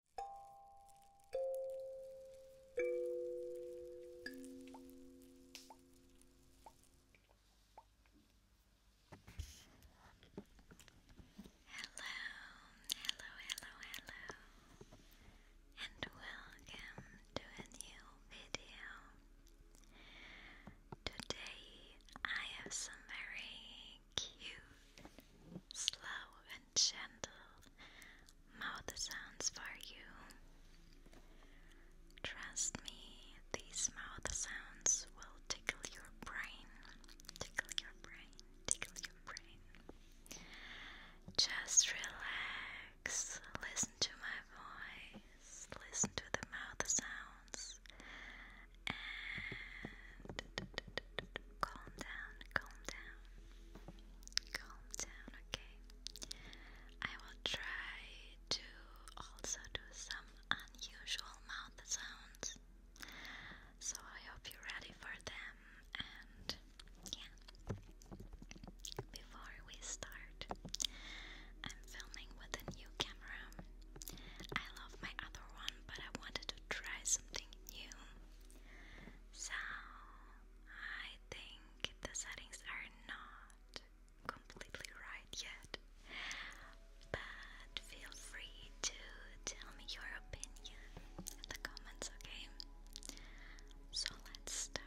hello, hello, hello, and welcome to a new video. Today I have some very cute slow and gentle mouth sounds for you. Trust me, these mouth sounds will tickle your brain. Tickle your brain, tickle your brain. Just relax, listen to my voice, listen to the mouth sounds, calm down, calm down, calm down, okay? I will try to also do some unusual mouth sounds. So I hope you're ready for them and yeah. Before we start, I'm filming with a new camera. I love my other one, but I wanted to try something new. So I think the settings are not completely right yet, but feel free to tell me your opinion in the comments, okay? So let's start.